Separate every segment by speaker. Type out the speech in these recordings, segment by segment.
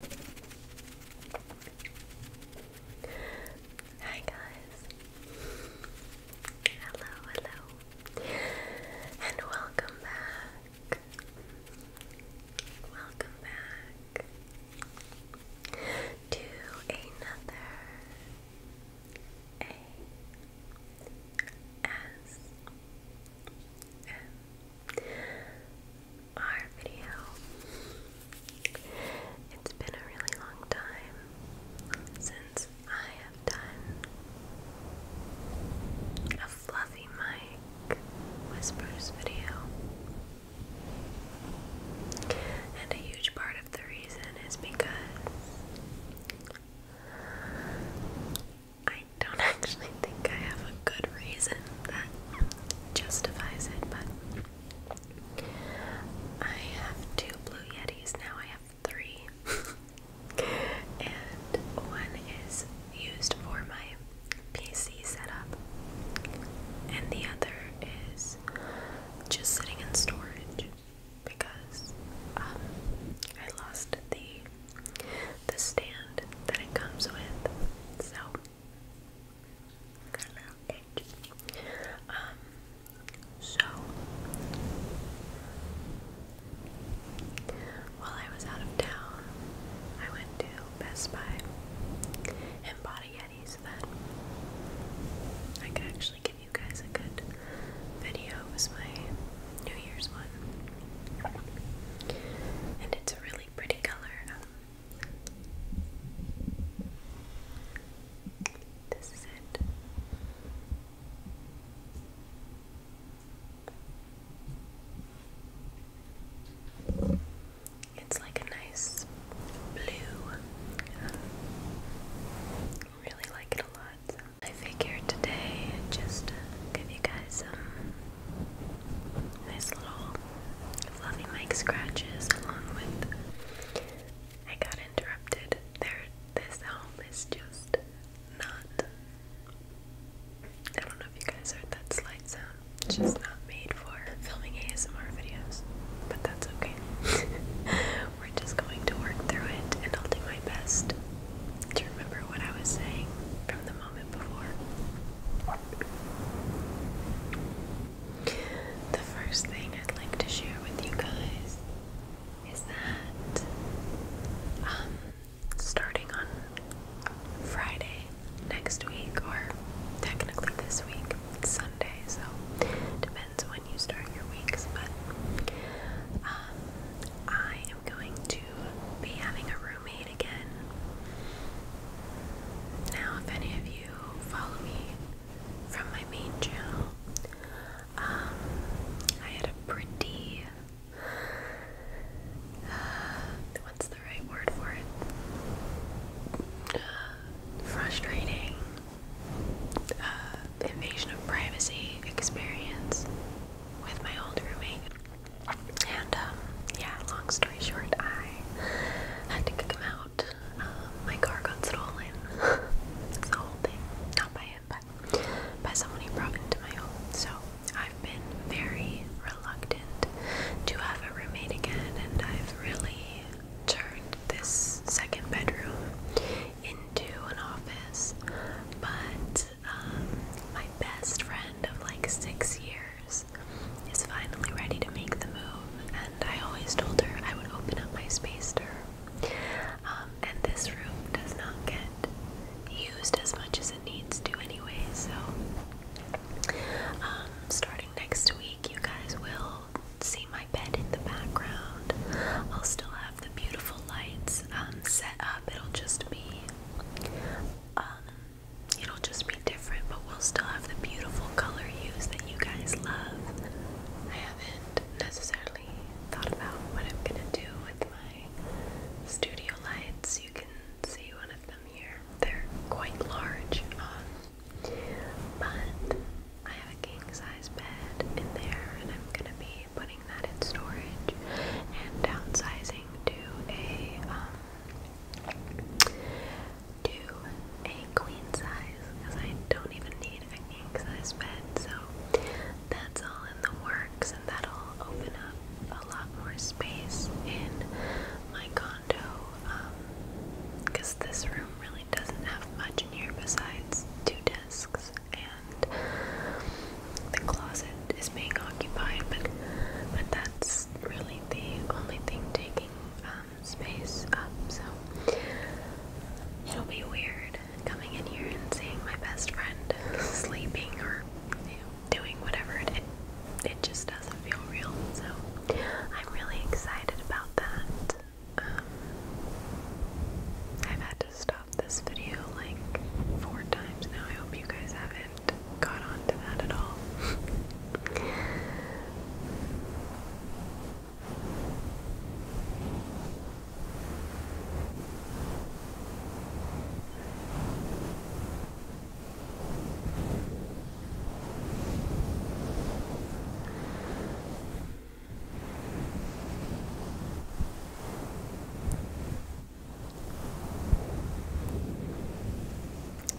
Speaker 1: Hi guys. Hello, hello. And welcome back. Welcome back to another A S M ASMR video. It's been a really long time since I have done a Fluffy Mike Whispers video. And a huge part of the reason is because I don't actually think I have good reason that justifies it, but I have two Blue Yetis now. I have three, and one is used for my PC setup, and the other is just sitting in storage because um, I lost the the stand that it comes with. So Got so while I was out of town, I went to Best Buy and bought a Yeti so that I could actually give you guys a good video. was my New Year's one. And it's a really pretty color. Um, this is it. It's like a nice blue. I really like it a lot. I figured today I'd just give you guys some this little fluffy mic scratches along with I got interrupted. There this home is just not I don't know if you guys heard that slight sound. It's just not made for filming ASMR videos. But that's okay. We're just going to work through it and I'll do my best to remember what I was saying from the moment before. The first thing I'd like to share with you guys is that um, starting on Friday next week, or technically this week, Sunday, so depends when you start your weeks, but um, I am going to be having a room again. Now, if any of you follow me from my main channel, um, I had a pretty. Uh, what's the right word for it? Uh, frustrating uh, invasion of privacy experience with my old roommate. And um, yeah, long story short, I had to kick him out. Um, my car got stolen. That's the whole thing. Not by him, but by someone he brought into my home. So I've been very reluctant to have a roommate again, and I've really turned this second bedroom into an office. But um, my best friend of like six years is finally ready to make the move, and I always told her I would open up my space to her. Um, and this room does not get used as much as it needs to anyway, so um, starting next week, you guys will see my bed in the background. I'll still have the beautiful lights set up. It'll just be It'll just be different, but we'll still have the beautiful color hues that you guys love. I haven't necessarily thought about what I'm gonna do with my studio lights. You can see one of them here. They're quite large, um, but I have a king size bed in there, and I'm gonna be putting that in storage and downsizing to a um, to a queen size because I don't even need a king size bed, so that's all in the works, and that'll open up a lot more space in my condo. Because um, this room really doesn't have much in here besides two desks and the closet is being occupied, but but that's really the only thing taking um, space up. So it'll be weird coming in here and seeing my best friend sleeping or doing whatever it. It just doesn't feel real. So I'm really excited about that. Um, I've had to stop this video like four times now. I hope you guys haven't haven't got onto that at all.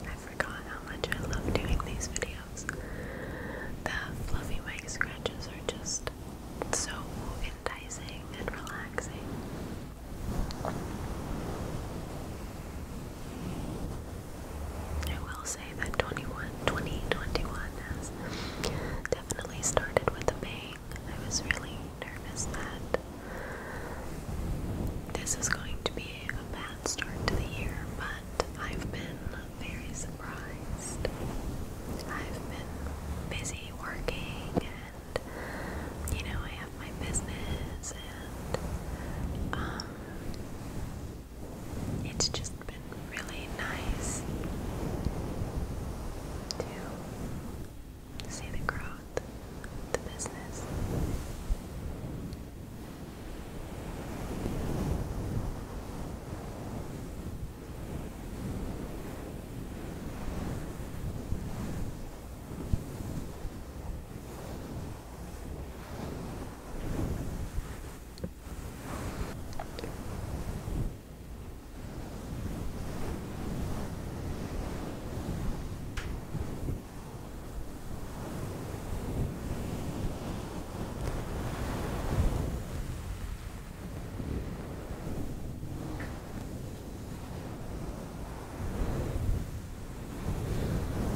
Speaker 1: I forgot how much I love doing these videos. The fluffy mic scratches are just so enticing and relaxing. I will say that 21, 2021 has definitely started with a bang. I was really nervous that this was going to be a bad start to the year, but I've been very surprised. I've been busy working and, you know, I have my business and, um, it's just been really nice to see the growth of the business.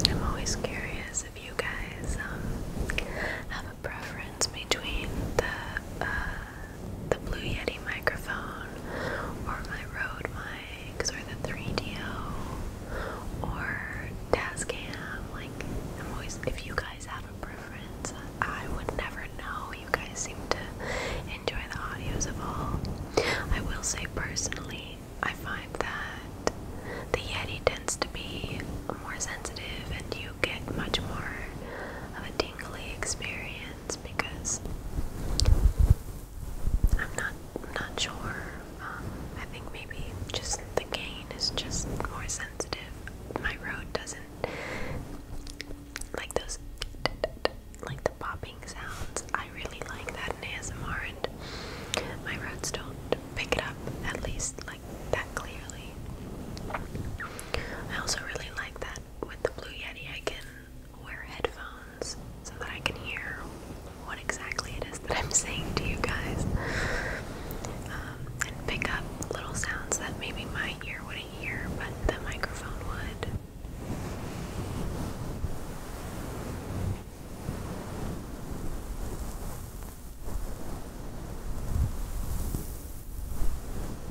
Speaker 1: I'm always curious if you guys um, have a preference between the uh, the Blue Yeti microphone, or my Rode mics, or the 3 d or Tascam. Like, I'm always, if you guys have a preference, I would never know. You guys seem to enjoy the audios of all. I will say personally, I find that the Yeti tends to be more sensitive and you get much more of a tingly experience because I'm not not sure. Um, I think maybe just the gain is just more sensitive. My road doesn't like those like the popping sounds. I really like that in ASMR, and my roads don't pick it up at least like that clearly. I also really like that with the Blue Yeti. I can wear headphones so that I can hear what exactly it is that I'm saying to you guys um, and pick up little sounds that maybe my ear wouldn't hear but the microphone would.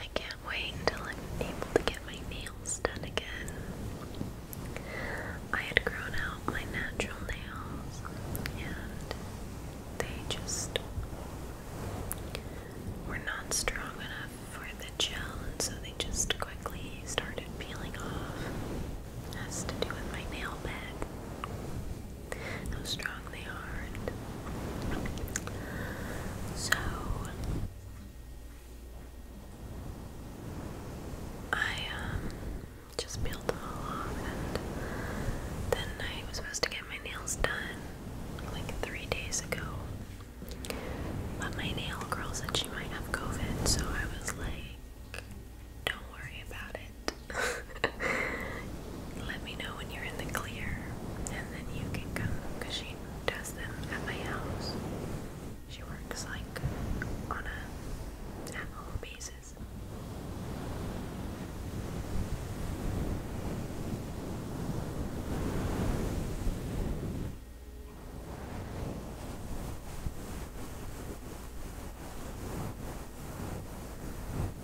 Speaker 1: I can't wait until I'm able to get my nails done again. I had grown out my natural nails and they just were not strong enough for the gel, and so they just quickly started peeling off. It has to do with my nail bed. How strong they are. And... So I um just peeled them all and then I was supposed to get my nails done like three days ago. But my nail girl said she might have COVID, so I was like, don't worry about it. Let me know when you're in the clear, and then you can come she does them at my house. She works like on a at basis.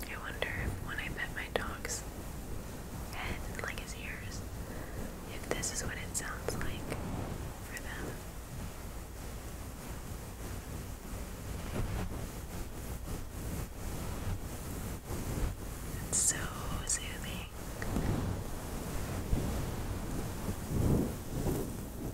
Speaker 1: I wonder if when I pet my dog's head and like his ears, if this is what it sounds like for them. It's so soothing.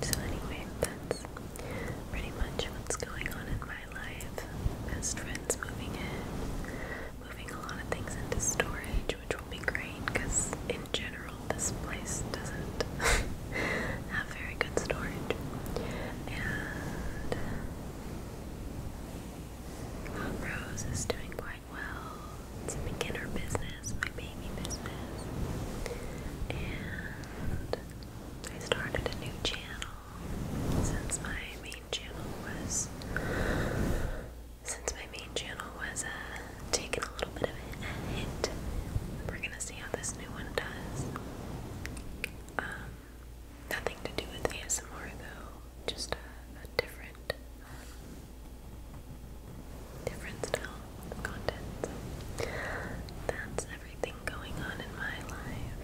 Speaker 1: So anyway, that's pretty much what's going on in my life. Best friends moving in, moving a lot of things into storage, which will be great because in general this place doesn't have very good storage. And uh, Rose is doing Black well. It's a beginner business, my baby business. And I started a new channel since my main channel was since my main channel was uh, taking a little bit of a hit. We're gonna see how this new one does. Um, nothing to do with ASMR though, just a different different style content. that's everything going on in my life.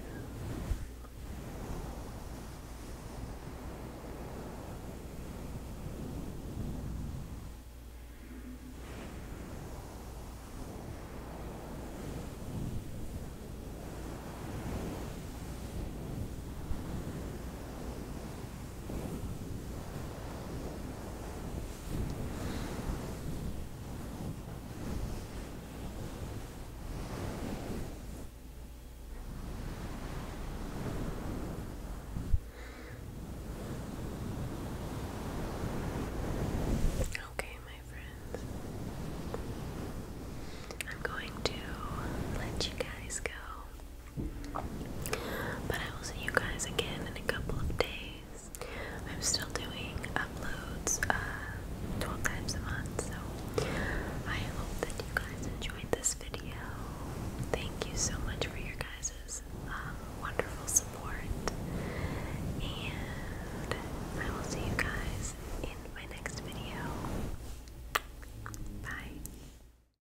Speaker 1: Okay, my friends, I'm going to let you guys go. But I will see you guys again in a couple of days. I'm still doing uploads uh, 12 times a month, so I hope that you guys enjoyed this video. Thank you so much for your guys's um, wonderful support, and I will see you guys in my next video. Bye.